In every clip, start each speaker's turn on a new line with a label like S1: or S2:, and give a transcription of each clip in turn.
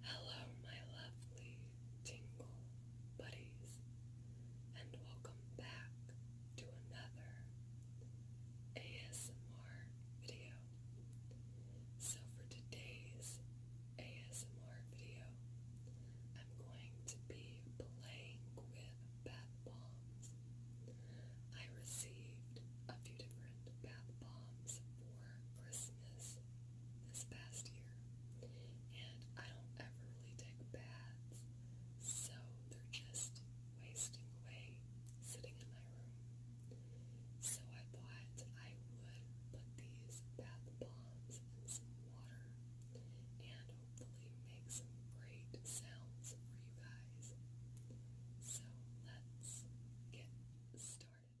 S1: Hello, my lovely tingle buddies, and welcome back to another ASMR video. So, for today's ASMR video, I'm going to be playing with bath bombs. I received a few different bath bombs for Christmas this past year, and I don't ever really take baths, so they're just wasting away sitting in my room. So I thought I would put these bath bombs in some water and hopefully make some great sounds for you guys. So let's get started.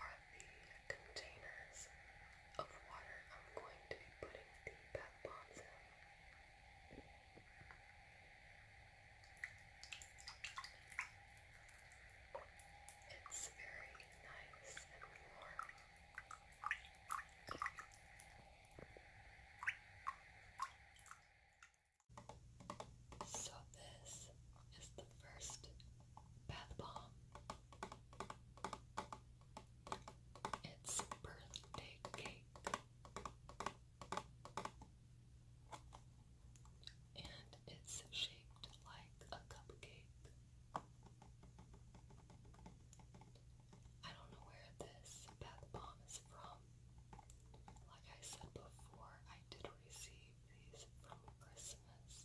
S1: are the containers of water I'm going to be putting the bath bombs in. It's very nice and warm. So, this is the first bath bomb it's birthday cake. And it's shaped like a cupcake. I don't know where this bath bomb is from. Like I said before, I did receive these from Christmas.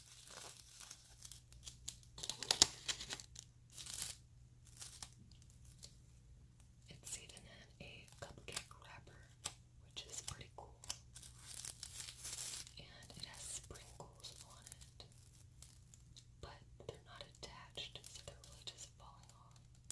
S1: It's even in a cupcake wrapper, which is pretty cool. And it has sprinkles on it, but they're not attached, so they're really just falling off.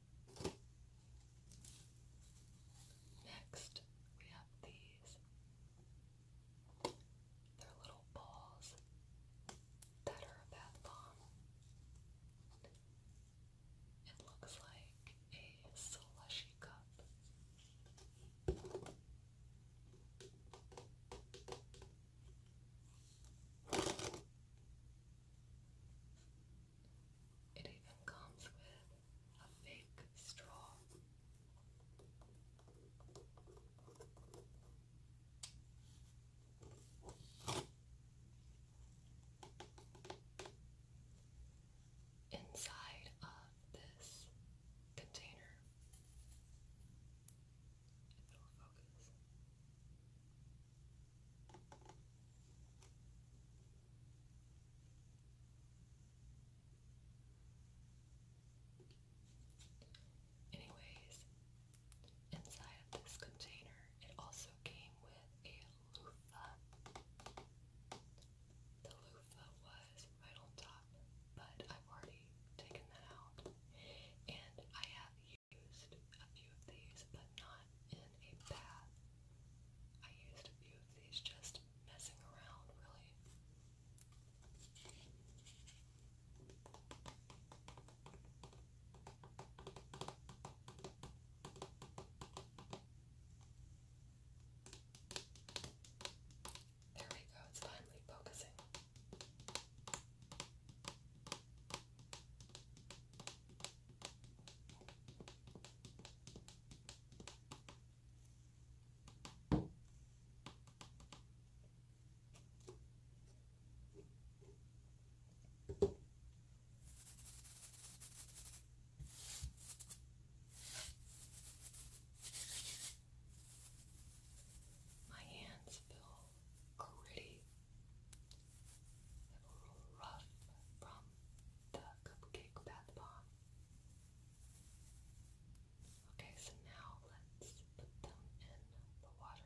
S1: Next, we have these. They're little balls that are a bath bomb. It looks like a slushy cup. It even comes with a fake straw. Inside of this container, if it'll focus, Anyways, inside this container, it also came with a loofah. The loofah was right on top, but I've already taken that out. And I have used a few of these, but not in a bath. I used a few of these just messing around, really. There we go, it's finally focusing. My hands feel gritty rub from the cupcake bath bomb. Okay, so now let's put them in the water.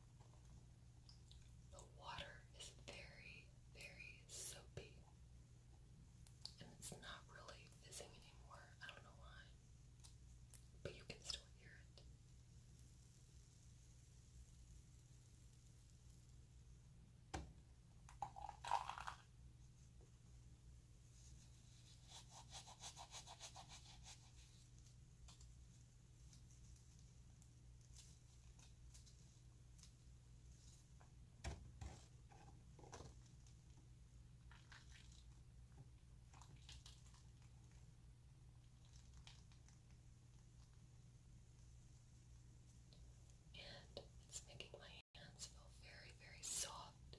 S1: The water is very, very soapy. And it's not really fizzing anymore. I don't know why. But you can still hear it. And it's making my hands feel very, very soft.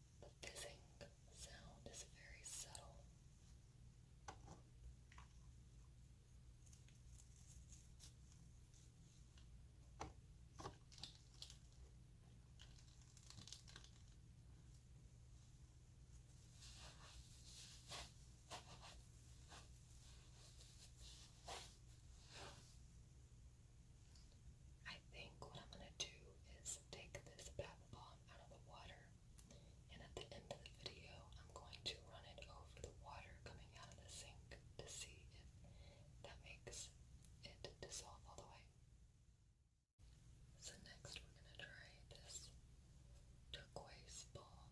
S1: The fizzing sound is very subtle. I think what I'm going to do is take this bath bomb out of the water, and at the end of the video, I'm going to run it over the water coming out of the sink to see if that makes it dissolve all the way. So, next we're going to try this turquoise ball.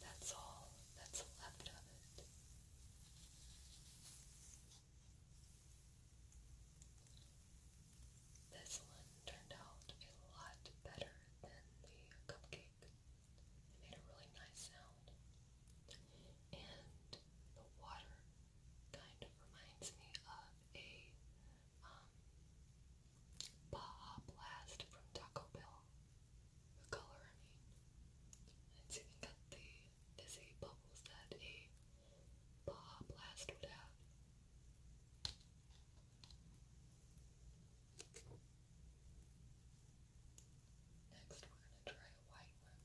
S1: That's all that's left of it. This one turned out a lot better than the cupcake. It made a really nice sound. And the water kind of reminds me of a um, Blast from Taco Bell. The color, I mean. It's even got the dizzy bubbles that a Bah, blast it out. Next, we're going to try a white one.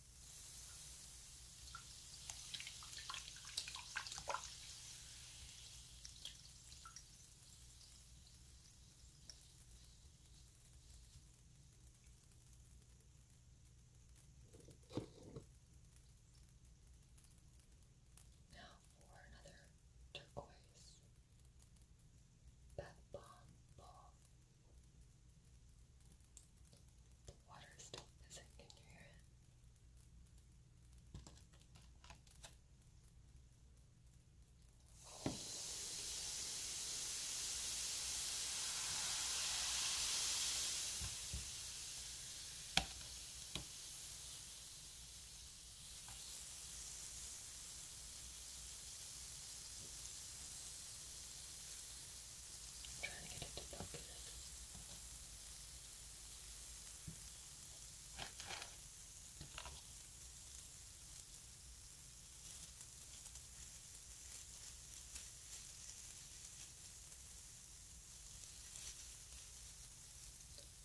S1: Now for another turquoise. That bomb ball. Water is still missing. Can you hear it? Wow, I'm trying to get it to focus.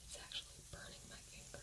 S1: It's actually burning my fingers. Okay.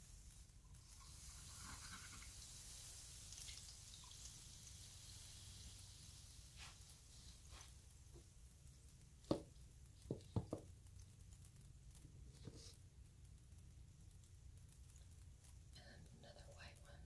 S1: And another white one.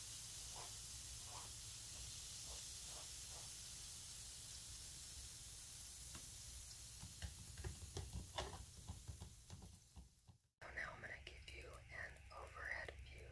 S1: So now I'm going to give you an overhead view.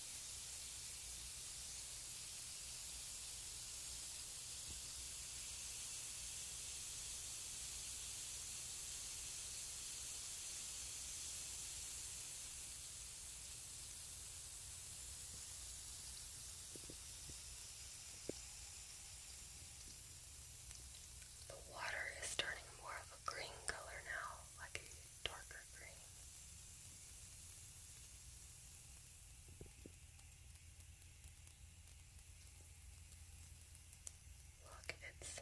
S1: The water is turning more of a green color now, like darker green. Look, it's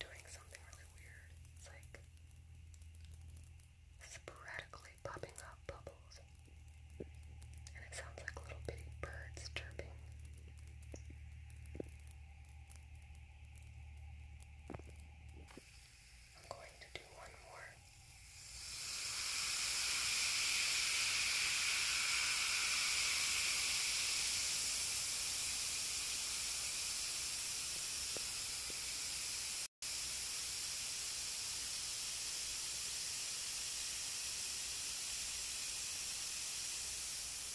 S1: doing something really weird. It's like sporadically popping up bubbles. And it sounds like little bitty birds chirping. I'm going to do one more.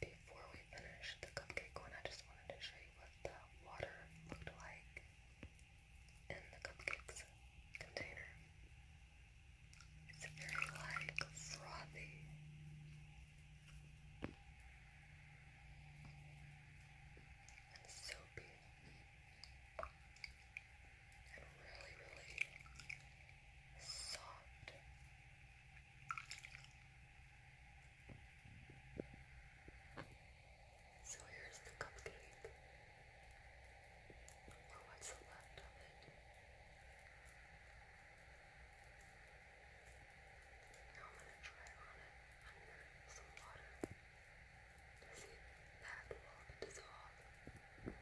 S1: Before we finish the cupcake one, I just wanted to show you what the water looked like in the cupcakes container. It's very like frothy. And soapy. And really, really soft. So here's the cupcake. Oh, what's left of it. Now I'm gonna try on it under some water to see if that will dissolve.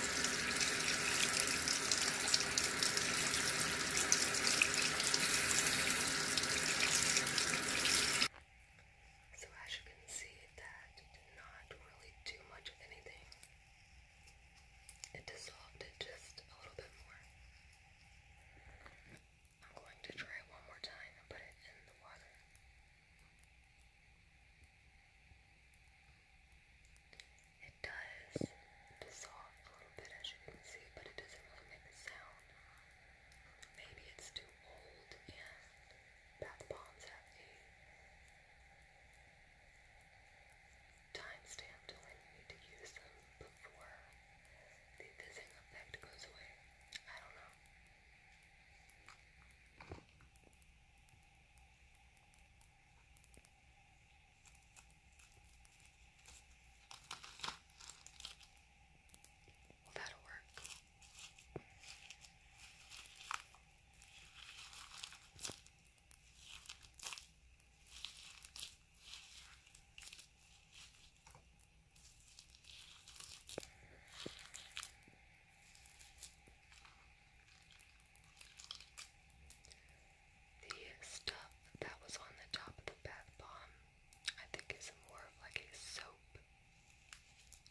S1: So as you can see, that did not really do much of anything. It dissolved it just a little bit more. I'm going to try it one more time and put it in the water. It does dissolve a little bit as you can see, but it doesn't really make a sound. Maybe it's too old and bath bombs have a time stamp when you need to use them before the fizzing effect goes away. I don't know. Well, that'll work. The stuff that was on the top of the bath bomb, I think, is more of like a soap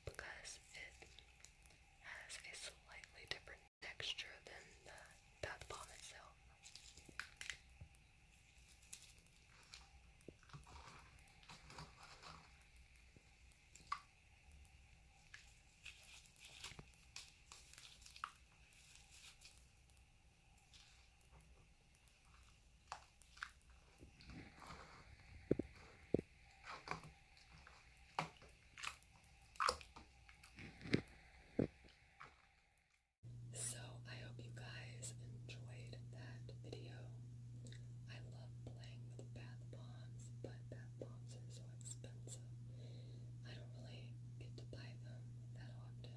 S1: because it has a slightly different texture than the bath bomb itself. So, I hope you guys enjoyed that video. I love playing with bath bombs, but bath bombs are expensive. I don't really get to buy them that often.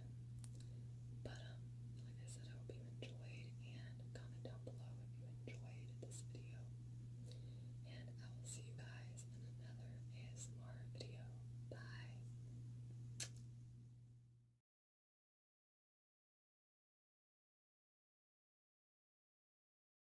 S1: But, um, like I said, I hope you enjoyed, and comment down below if you enjoyed this video. And I will see you guys in another ASMR video. Bye!